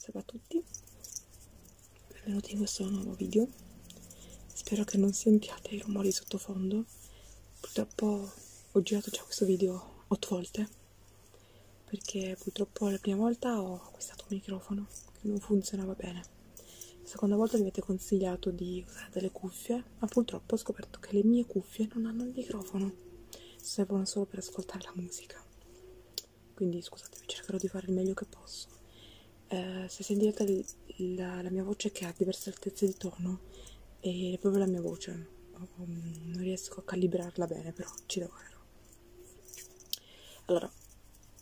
Salve a tutti, benvenuti in questo nuovo video. Spero che non sentiate i rumori sottofondo. Purtroppo ho girato già questo video 8 volte perché purtroppo la prima volta ho acquistato un microfono che non funzionava bene. La seconda volta mi avete consigliato di usare delle cuffie, ma purtroppo ho scoperto che le mie cuffie non hanno il microfono, servono solo per ascoltare la musica quindi scusatemi cercherò di fare il meglio che posso eh, se sentite la, la mia voce che ha diverse altezze di tono è proprio la mia voce um, non riesco a calibrarla bene però ci lavorerò allora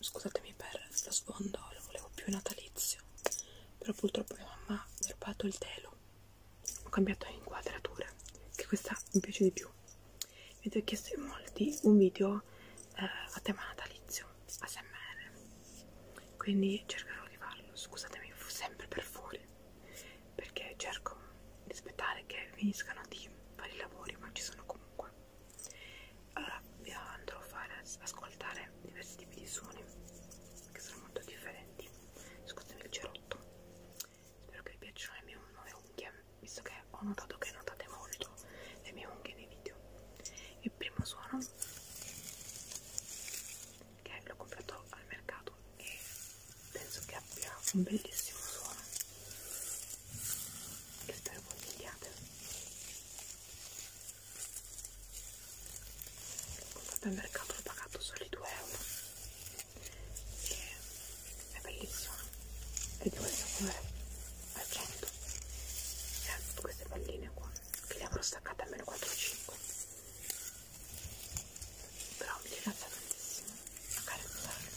scusatemi per lo sfondo lo volevo più natalizio però purtroppo mia mamma mi ha rubato il telo ho cambiato inquadrature che questa mi piace di più mi avete chiesto in molti un video eh, a tema natalizio ASMR quindi cercherò di farlo scusatemi sempre per fuori perché cerco di aspettare che finiscano di fare i lavori ma ci sono comunque allora vi andrò a fare ascoltare diversi tipi di suoni che sono molto differenti scusatemi il cerotto spero che vi piacciono le mie nuove unghie visto che ho notato che notate molto le mie unghie nei video il primo suono che l'ho comprato al mercato e penso che abbia un bellissimo suono che spero consigliate l'ho comprato al mercato l'ho pagato solo 2 euro che è bellissima è di questo colore al 100 e ha tutte queste palline qua che le avrò staccate almeno 4 o 5 però mi piace tantissimo a carezzarle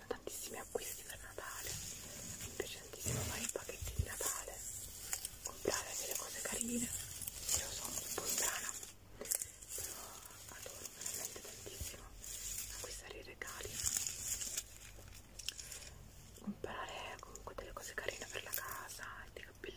piacciono tantissimi acquisti per Natale mi piace tantissimo fare i pacchetti di Natale comprare delle cose carine io sono un po' strana però adoro veramente tantissimo acquistare i regali comprare comunque delle cose carine per la casa dei cappellini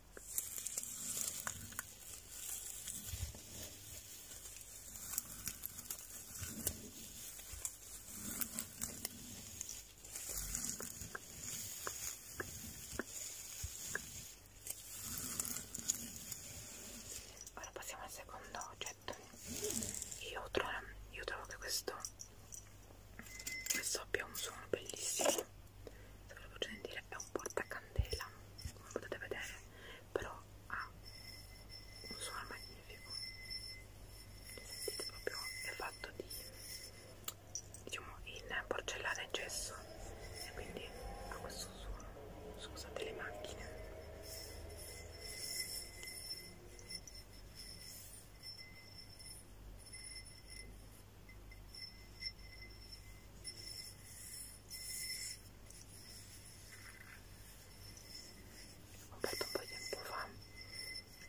Ora passiamo al secondo oggetto. Io trovo, io trovo che questo questo abbia un suono bellissimo se ve lo faccio sentire è un portacandela come potete vedere però ha un suono magnifico sentite proprio è fatto di diciamo in porcellana e gesso e quindi ha questo suono scusate le macchine L'ho comprato un po' di tempo fa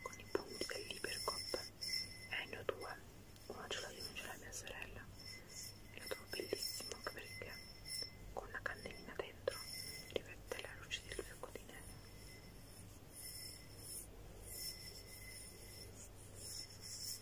con i punti dell'Ipercop e eh, ne ho due, uno ce l'ha io, uno ce l'ha mia sorella e lo trovo bellissimo anche perché con una candelina dentro riflette la luce del fiocco di neve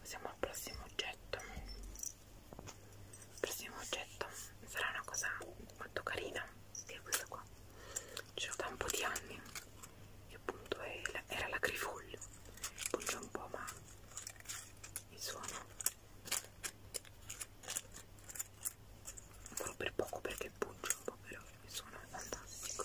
Passiamo al prossimo oggetto. Il prossimo oggetto sarà una cosa molto carina, che è questo qua. Ce l'ho da un po' di anni, che appunto era la grifoglio. Punge un po' ma il suono solo per poco perché pungio un po' però il suono è fantastico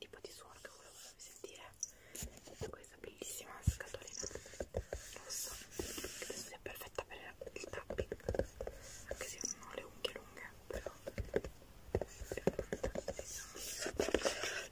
tipo di suono che volevo farvi sentire da questa bellissima scatolina rossa che penso sia perfetta per il tapping anche se non ho le unghie lunghe però è fantastica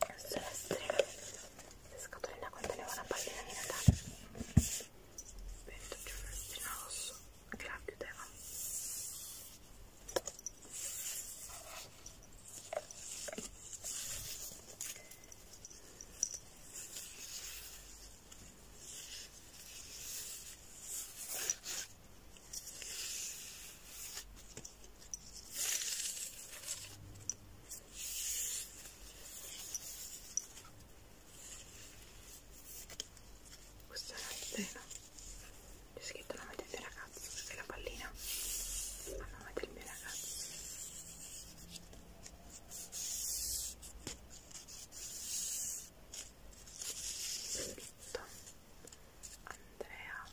adesso le estreme le scatoline contenevano una pallina di Natale metto giù un lestrino rosso che la chiudeva questa è la pena c'è scritto nome del mio ragazzo questa è la pallina a nome del mio ragazzo Benedetto Andrea Andrea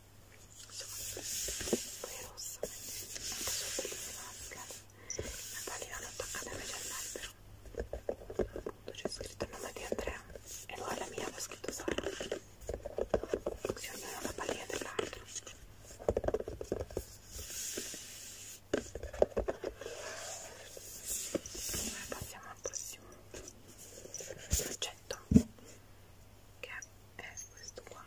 poi è rossa molto sotto le mascare la pallina l'ho attaccata invece all'albero appunto c'è scritto il nome di Andrea e poi la mia l'ho scritto Sara così ognuno ha la pallina dell'altro passiamo al prossimo oggetto che è è questo qua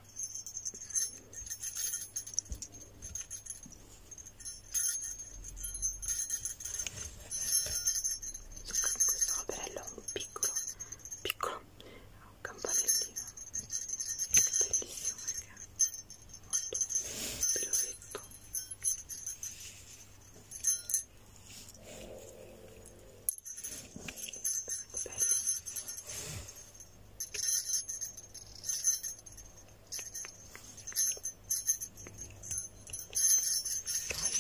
questo operello è un piccolo piccolo è un campanellino è bellissimo perché è molto pelosetto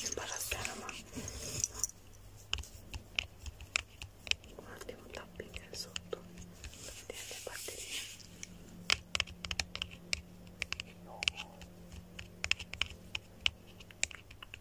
imbarazzare ma un attimo tapping sotto per vedere le batterie no.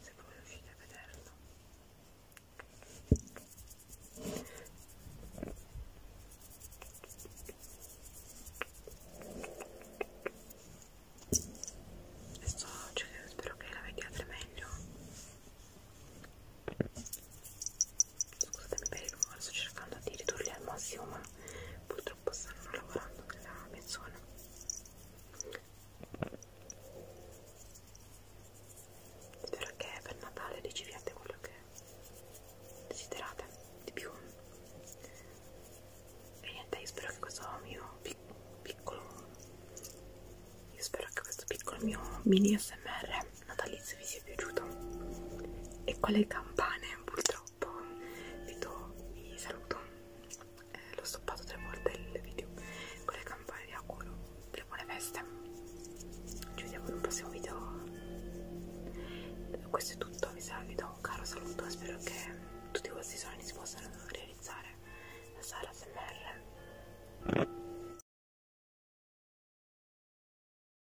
se voi riuscite a vederlo adesso cioè, spero che la vediate meglio scusatemi per il rumore sto cercando di ridurli al massimo ma purtroppo stanno lavorando nella mezz'ora spero che per Natale riceviate quello che desiderate di più e niente io spero che questo mio pic piccolo io spero che questo piccolo mio mini smr natalizio vi sia piaciuto e con le campane purtroppo vi, do, vi saluto eh, l'ho stoppato tre volte il video con le campane vi auguro delle buone feste ci vediamo in un prossimo video questo è tutto vi, vi do un caro saluto spero che tutti questi sogni si possano realizzare la sala smr